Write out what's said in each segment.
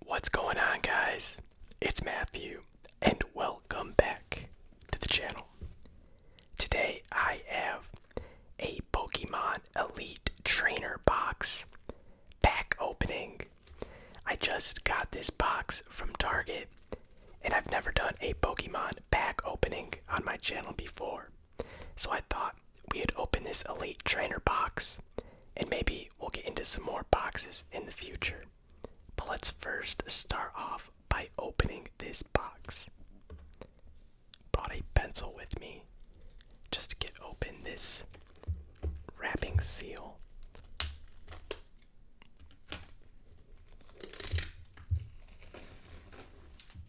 What's going on, guys? It's Matthew, and welcome back to the channel. Today, I have a Pokemon Elite Trainer box pack opening. I just got this box from Target, and I've never done a Pokemon pack opening on my channel before. So I thought we would open this Elite Trainer box and maybe we'll get into some more boxes in the future. But let's first start off by opening this box. Brought a pencil with me just to get open this wrapping seal.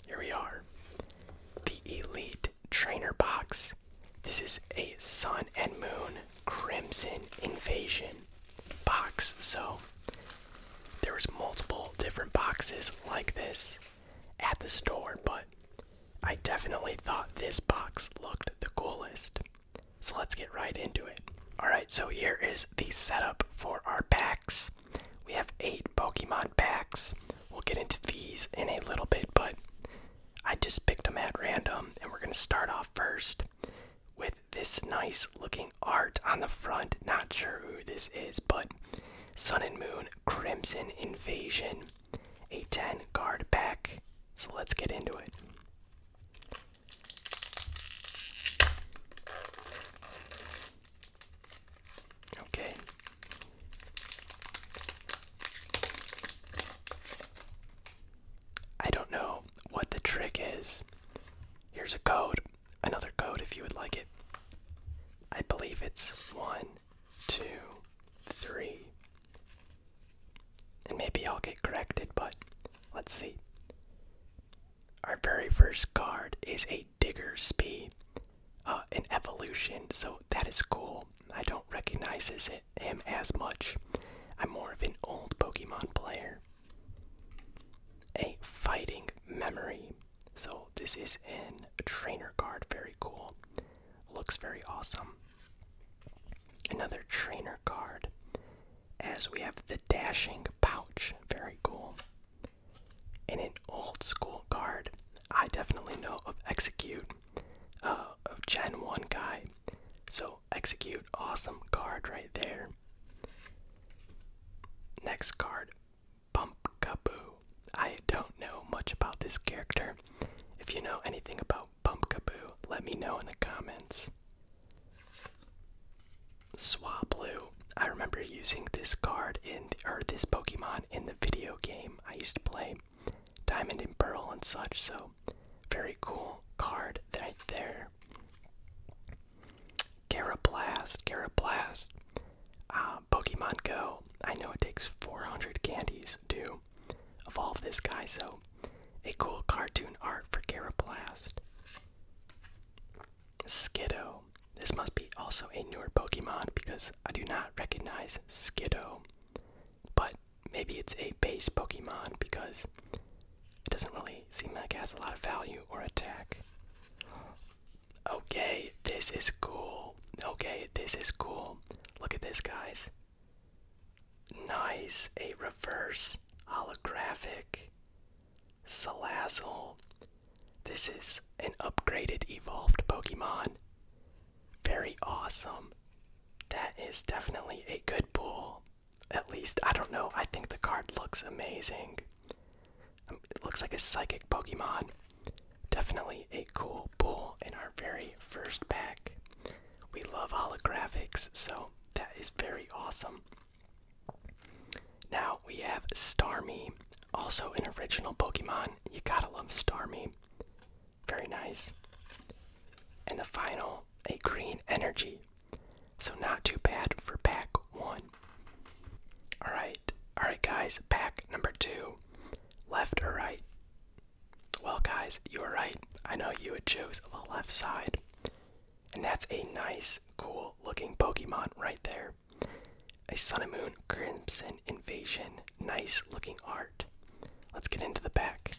Here we are. The Elite Trainer Box. This is a Sun and Moon Crimson Invasion box. So there was multiple different boxes like this at the store, but I definitely thought this box looked the coolest. So let's get right into it. Alright, so here is the setup for our packs. We have eight Pokemon packs. We'll get into these in a little bit, but I just picked them at random, and we're going to start off first with this nice looking art on the front. Not sure who this is, but Sun and Moon Crimson Invasion, a 10 card pack. So let's get into it. Okay. I don't know what the trick is. Here's a code, another code if you would like it. I believe it's one, two, three. And maybe I'll get corrected, but let's see. Our very first card is a Digger Speed uh, an evolution, so that is cool. I don't recognize his him as much. I'm more of an old Pokemon player. A fighting memory. So, this is in a trainer card. Very cool. Looks very awesome. Another trainer card. As we have the dashing pouch. Very cool. In an old school card. I definitely know of Execute. Uh, of Gen 1 guy. So, execute, awesome card right there. Next card, Pumpkaboo. I don't know much about this character. If you know anything about Pumpkaboo, let me know in the comments. Swablu. I remember using this card in, or this Pokemon in the video game I used to play diamond and pearl and such. So, very cool card right there. Garablast, Garablast, uh, Pokemon Go. I know it takes 400 candies to evolve this guy, so a cool cartoon art for Garablast. Skiddo. This must be also a newer Pokemon because I do not recognize Skiddo. But maybe it's a base Pokemon because it doesn't really seem like it has a lot of value or attack. Okay, this is cool. Okay, this is cool. Look at this, guys. Nice, a reverse holographic Salazzle. This is an upgraded evolved Pokemon. Very awesome. That is definitely a good pull. At least, I don't know, I think the card looks amazing. Um, it looks like a psychic Pokemon. Definitely a cool pull in our very first pack. We love holographics, so that is very awesome. Now we have Starmie, also an original Pokemon. You gotta love Starmie. Very nice. And the final, a green energy. So not too bad for pack one. Alright, alright guys, pack number two. Left or right? Well guys, you're right. I know you would choose the left side. And that's a nice, cool looking Pokemon right there. A Sun and Moon Crimson Invasion. Nice looking art. Let's get into the back.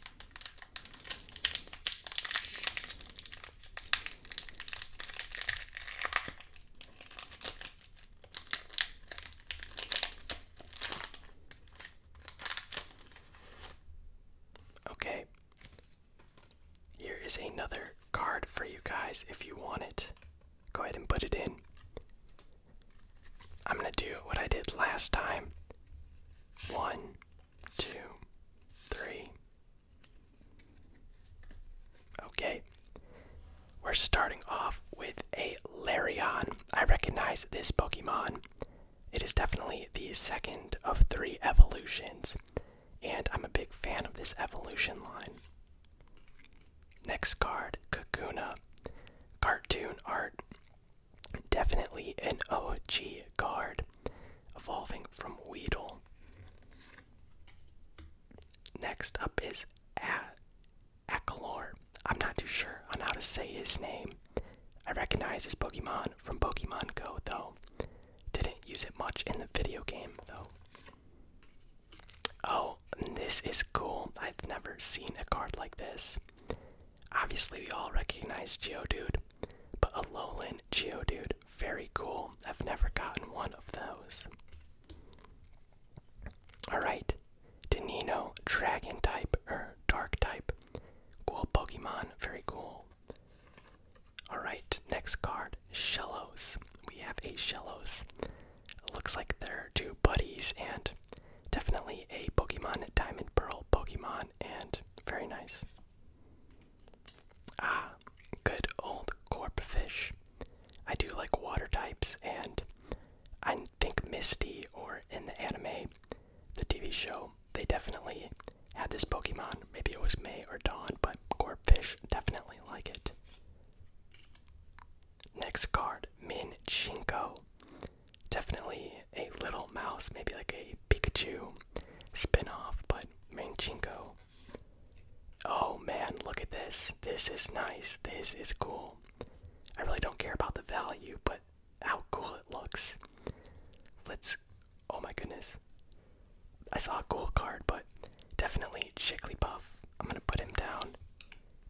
Okay. Here is another card for you guys if you want it. Go ahead and put it in. I'm going to do what I did last time. One, two, three. Okay. We're starting off with a Larion. I recognize this Pokemon. It is definitely the second of three evolutions, and I'm a big fan of this evolution line. Next card, Kakuna. Cartoon art. Definitely an OG guard, evolving from Weedle. Next up is Akalor. I'm not too sure on how to say his name. I recognize his Pokemon from Pokemon Go, though. Didn't use it much in the video game, though. Oh, this is cool. I've never seen a card like this. Obviously, we all recognize Geodude, but a Alolan Geodude, very cool. I've never gotten one of those. Alright, Danino, Dragon type, or er, Dark type. Cool Pokemon, very cool. Alright, next card, Shellos. We have a Shellos. Looks like they're two buddies and definitely a Pokemon Diamond Pearl Pokemon and very nice. Ah, good old corp I do like water types, and I think Misty or in the anime, the TV show, they definitely had this Pokemon. Maybe it was May or Dawn, but corp fish definitely like it. Next card, Min Chinko. Definitely a little mouse, maybe like a Pikachu spin-off, but Manchinko. Oh man, look at this. This is nice. This is cool. I really don't care about the value, but how cool it looks. Let's oh my goodness. I saw a cool card, but definitely Jigglypuff. I'm gonna put him down.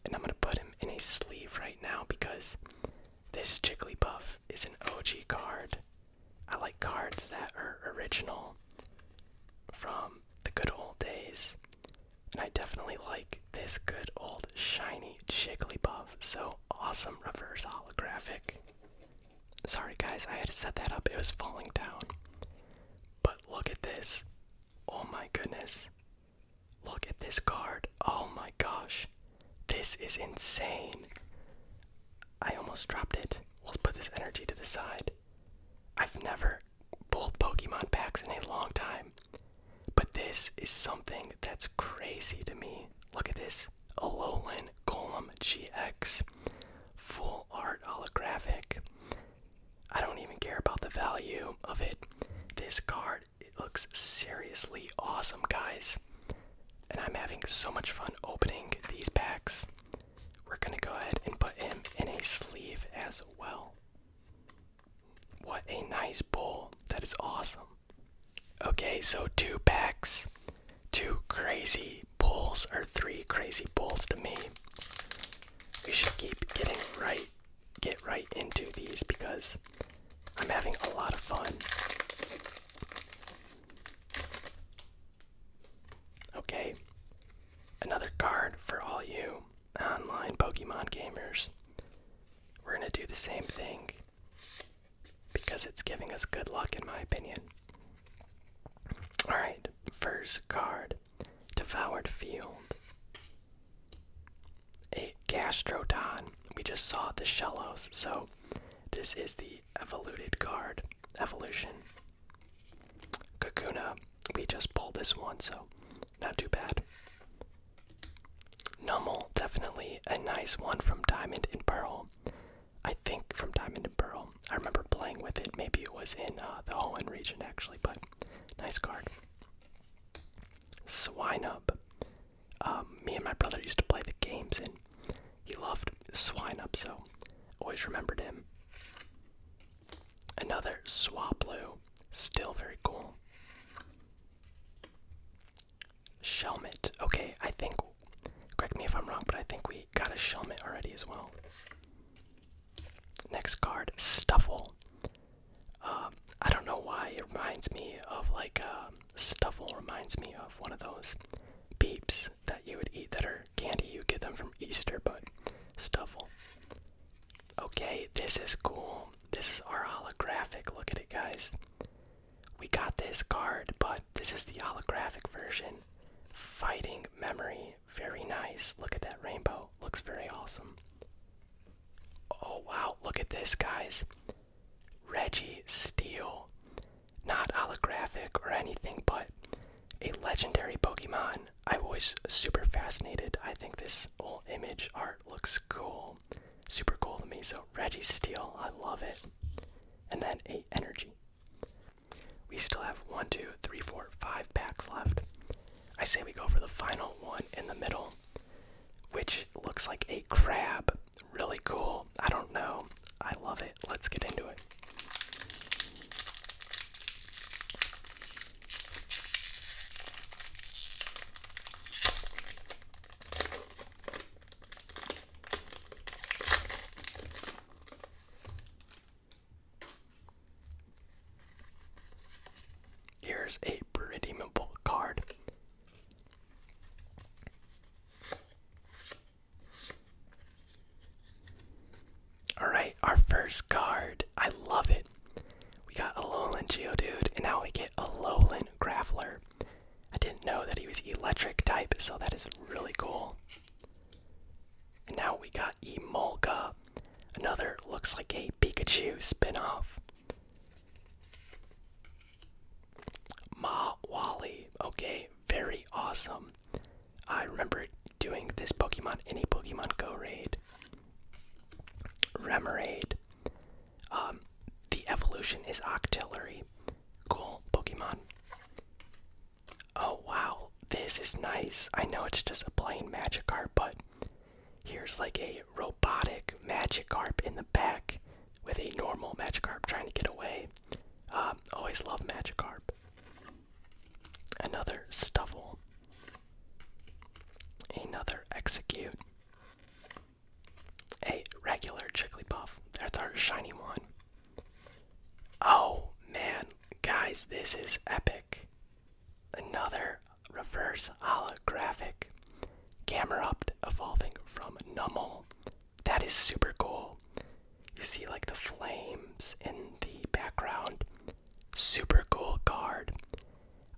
And I'm gonna put him in a sleeve right now because this Jigglypuff is an OG card. I like cards that are original from the good old days. And I definitely like this good old shiny Jigglypuff. So awesome reverse holographic. Sorry guys, I had to set that up. It was falling down. But look at this. Oh my goodness. Look at this card. Oh my gosh. This is insane. I almost dropped it. Let's put this energy to the side. I've never pulled Pokemon packs in a long time, but this is something that's crazy to me. Look at this Alolan Golem GX. Full art holographic. I don't even care about the value of it. This card it looks seriously awesome, guys. And I'm having so much fun opening these packs. We're gonna go ahead and put him in a sleeve as well. What a nice bowl. That is awesome. Okay, so two packs, two crazy pulls, or three crazy pulls to me. We should keep getting right, get right into these because I'm having a lot of fun. Okay, another card for all you online Pokemon gamers. We're gonna do the same thing because it's giving us good luck, in my opinion. Alright, first card Devoured Field. A Gastrodon. We just saw the Shellos, so this is the evolved card. Evolution. Kakuna. We just pulled this one, so not too bad. Nummel, definitely a nice one from Diamond and Pearl. I think from Diamond and Pearl. I remember playing with it. Maybe it was in uh, the Hoenn region actually, but nice card. Swinub. Um, me and my brother used to play the games, and he loved swine up, so always remembered him. Another Swablu, still very cool. Shelmet. Okay, I think, correct me if I'm wrong, but I think we got a Shelmet already as well. Next card, Stuffle. Uh, I don't know why it reminds me of like um, Stuffle reminds me of one of those beeps that you would eat that are candy. You get them from Easter, but stuffle. Okay, this is cool. This is our holographic. Look at it, guys. We got this card, but this is the holographic version. Fighting memory. Very nice. Look at that rainbow. Looks very awesome. Oh, wow. Look at this, guys. Reggie Steel. Not holographic or anything, but a legendary Pokemon. I was super fascinated. I think this whole image art looks cool. Super cool to me. So Reggie Steel, I love it. And then a energy. We still have one, two, three, four, five packs left. I say we go for the final one in the middle which looks like a crab. Really cool. I don't know. I love it. Let's get into it. Here's a redeemable card. Alright, our first card. I love it. We got a Alolan Geodude, and now we get a Alolan Graveler. I didn't know that he was electric type, so that is really cool. And now we got Emolga. Another looks like a Pikachu spin-off. Ma Okay, very awesome. I remember doing this Pokemon any Pokemon Go raid. Remoraid. Um, the evolution is Octillery. Cool Pokemon. Oh wow, this is nice. I know it's just a plain Magikarp, but here's like a robotic Magikarp in the back with a normal Magikarp trying to get away. Um, always love Magikarp. Another Stuffle. Another Execute. A regular Jigglypuff. That's our shiny one. Oh man, guys, this is epic. Another reverse holographic. Camerupt evolving from Nummel that is super cool. You see, like the flames in the background. Super cool card.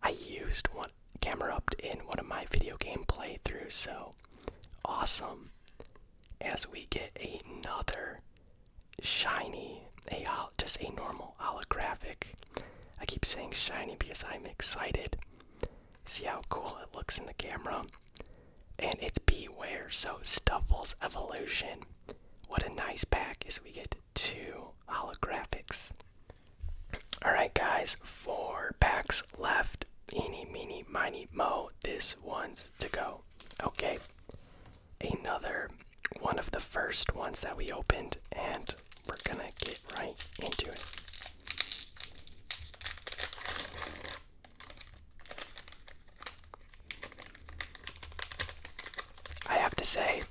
I used one camera up in one of my video game playthroughs, so awesome. As we get another shiny, a just a normal holographic. I keep saying shiny because I'm excited. See how cool it looks in the camera? And it's Beware, so Stuffle's Evolution. What a nice pack is we get two holographics. Alright guys, four packs left. Eeny, meenie miny, mo. This one's to go. Okay. Another one of the first ones that we opened, and we're gonna get right into it. I have to say,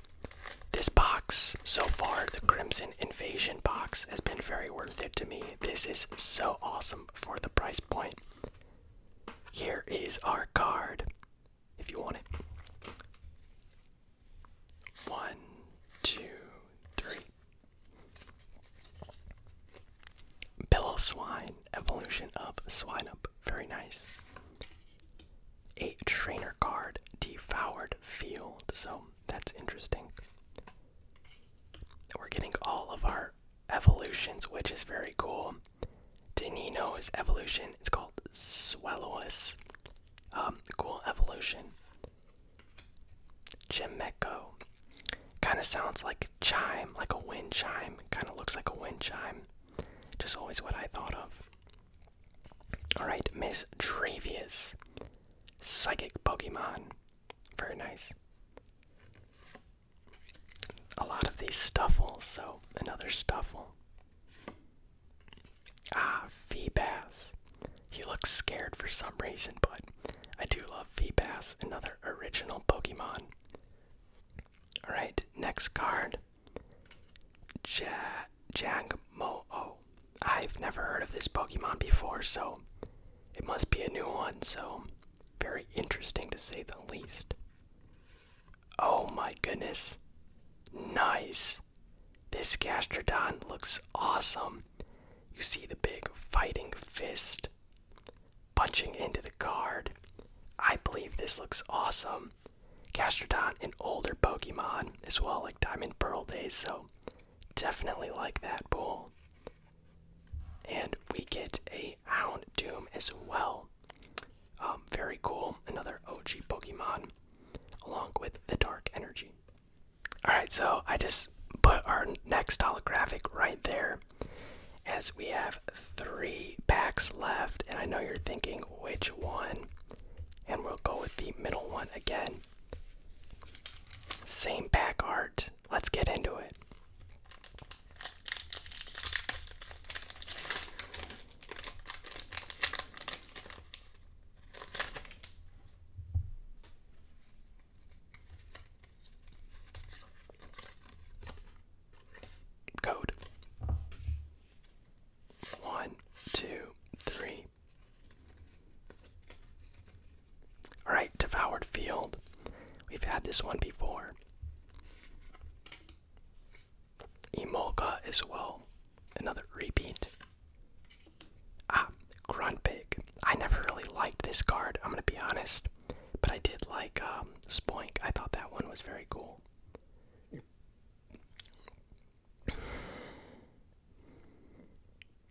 this box so far, the Crimson Invasion box, has been very worth it to me. This is so awesome for the price point. Here is our card if you want it. One, two, three. Bellow Swine, evolution of Swine Up. Very nice. A trainer card, Devoured Field. So that's interesting. We're getting all of our evolutions, which is very cool. Danino's evolution, it's called Swallowus. Um, cool evolution. Chimeco. Kind of sounds like a chime, like a wind chime. Kind of looks like a wind chime. Just always what I thought of. Alright, Miss Dravius. Psychic Pokemon. Very nice. A lot of these stuffles, so another stuffle. Ah, Feebas. He looks scared for some reason, but I do love Feebas, another original Pokemon. Alright, next card. Ja Jangmo-O. Oh, I've never heard of this Pokemon before, so it must be a new one, so very interesting to say the least. Oh my goodness. Nice. This Gastrodon looks awesome. You see the big fighting fist punching into the card. I believe this looks awesome. Gastrodon, an older Pokemon as well, like Diamond Pearl days, so definitely like that pool. And we get a Houndoom as well. Um, very cool, another OG Pokemon, along with the Dark Energy. Alright, so I just put our next holographic right there as we have three packs left. And I know you're thinking which one, and we'll go with the middle one again. Same pack art. Let's get into it. Code one, two, three. Alright, Devoured Field. We've had this one before. Emolka as well. Another repeat. Ah, Grunpig. I never really liked this card, I'm gonna be honest. But I did like um, Spoink. I thought that one was very cool.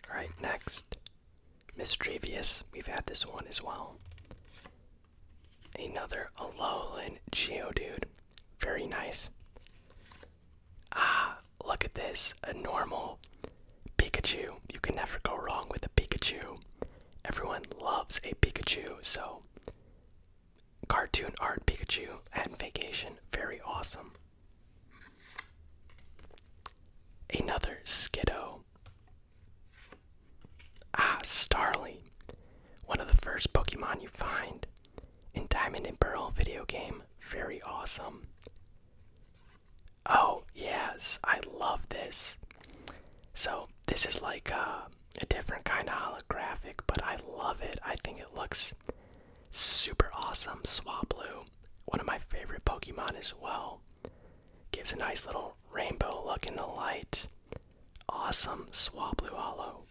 Alright, next. mischievous. We've had this one as well. Another Alolan Geodude. Very nice. Ah, look at this. A normal Pikachu, you can never go wrong with a Pikachu. Everyone loves a Pikachu, so cartoon art Pikachu at vacation, very awesome. Another Skiddo. Ah, Starly. One of the first Pokemon you find in Diamond and Pearl video game. Very awesome. Oh, yes, I love this. So, this is like uh, a, different kind of holographic, but I love it. I think it looks super awesome. Swablu, one of my favorite Pokemon as well, gives a nice little rainbow look in the light. Awesome Swablu Hollow.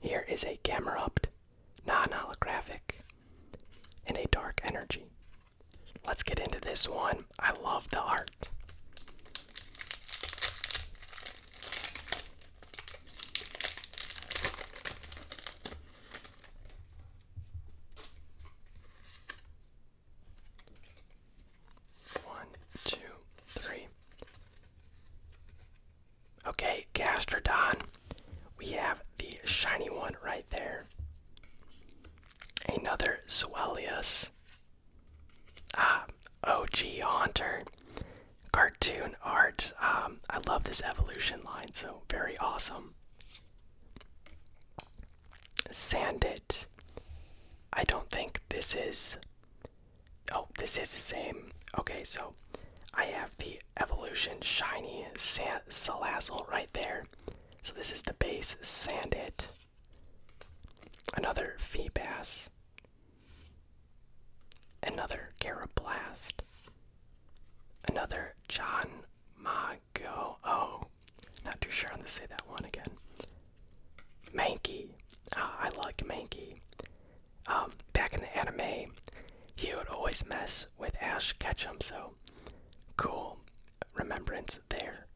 Here is a Camerupt, non holographic, and a dark energy. Let's get into this one. I love the art. One, two, three. Okay, Gastrodon. We have the shiny one right there. Another Swellius. Ah, OG Hunter, Cartoon art. Um, I love this evolution line, so very awesome. Sandit. I don't think this is. Oh, this is the same. Okay, so I have the evolution shiny Sand Salazzle right there. So this is the bass sandit. Another fee bass. Another garablast. Another John Mago. Oh, not too sure I'm going to say that one again. Mankey. Ah, I like Mankey. Um, back in the anime, he would always mess with Ash Ketchum, so cool remembrance there.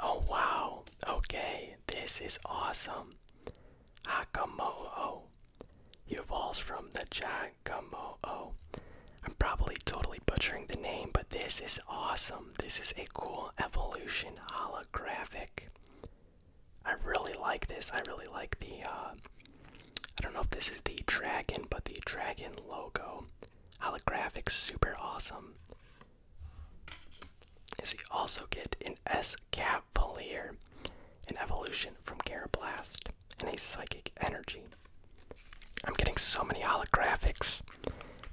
Oh wow, okay, this is awesome. Hakamo'o. He evolves from the Jagamo'o. I'm probably totally butchering the name, but this is awesome. This is a cool evolution holographic. I really like this. I really like the, uh, I don't know if this is the dragon, but the dragon logo. Holographic, super awesome. As you also get an S Cavalier, an evolution from Carablast, and a psychic energy. I'm getting so many holographics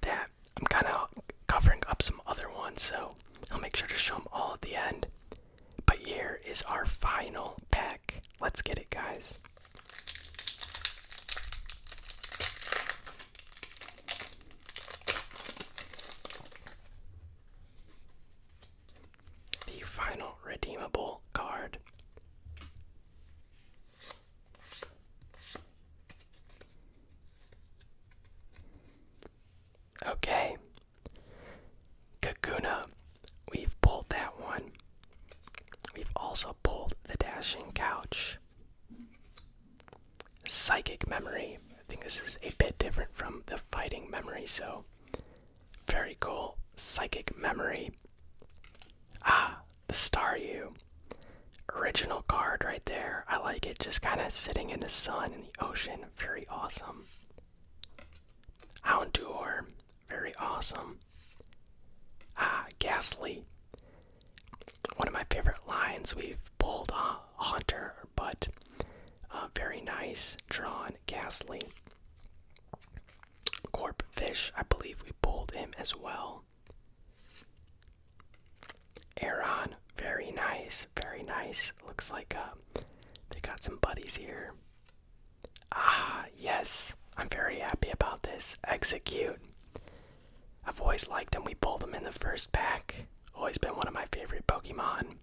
that I'm kind of covering up some other ones, so I'll make sure to show them all at the end. But here is our final pack. Let's get it, guys. The final redeemable card Okay. Kakuna. We've pulled that one. We've also pulled the dashing couch. Psychic memory. I think this is a bit different from the fighting memory, so very cool. Psychic memory. Ah, the star you. Original card right there. I like it. Just kind of sitting in the sun in the ocean. Very awesome. Houndour. Very awesome. Ah, Ghastly. One of my favorite lines. We've pulled uh, Hunter, but uh, very nice. Drawn Ghastly. Corp Fish, I believe we pulled him as well. Aaron, very nice, very nice. Looks like uh, they got some buddies here. Ah, yes, I'm very happy about this. Execute. I've always liked them. We pulled them in the first pack. Always been one of my favorite Pokemon.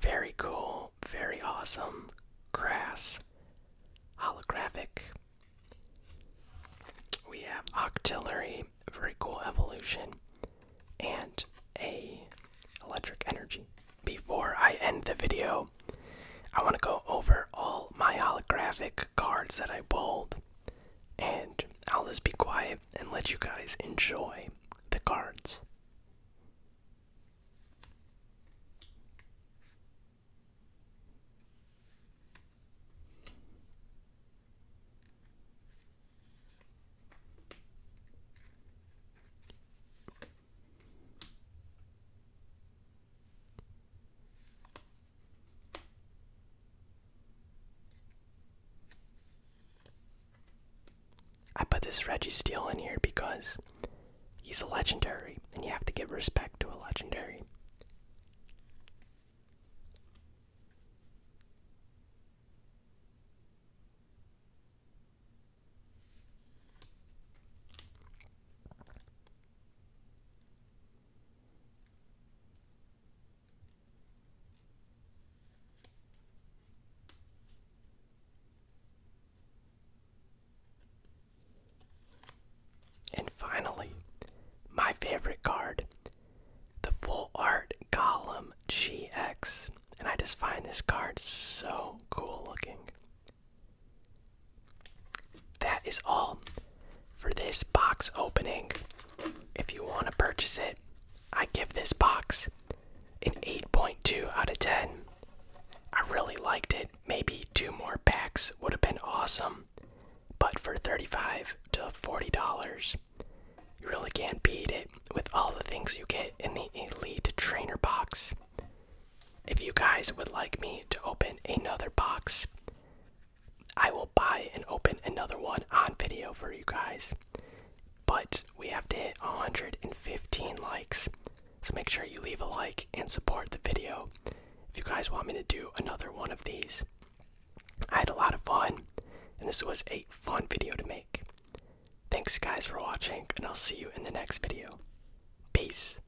Very cool, very awesome. Grass. Holographic. We have Octillery, very cool evolution, and a electric energy. Before I end the video, I want to go over all my holographic cards that I pulled, and I'll just be quiet and let you guys enjoy the cards. I put this Reggie Steele in here because he's a legendary, and you have to give respect to a legendary. And finally, my favorite card, the Full Art Golem GX. And I just find this card so cool looking. That is all for this box opening. If you want to purchase it, I give this box an 8.2 out of 10. I really liked it. Maybe two more packs would have been awesome, but for 35 to $40, you really can't beat it with all the things you get in the Elite Trainer box. If you guys would like me to open another box, I will buy and open another one on video for you guys. But we have to hit 115 likes. So make sure you leave a like and support the video if you guys want me to do another one of these. I had a lot of fun, and this was a fun video to make. Thanks guys for watching, and I'll see you in the next video. Peace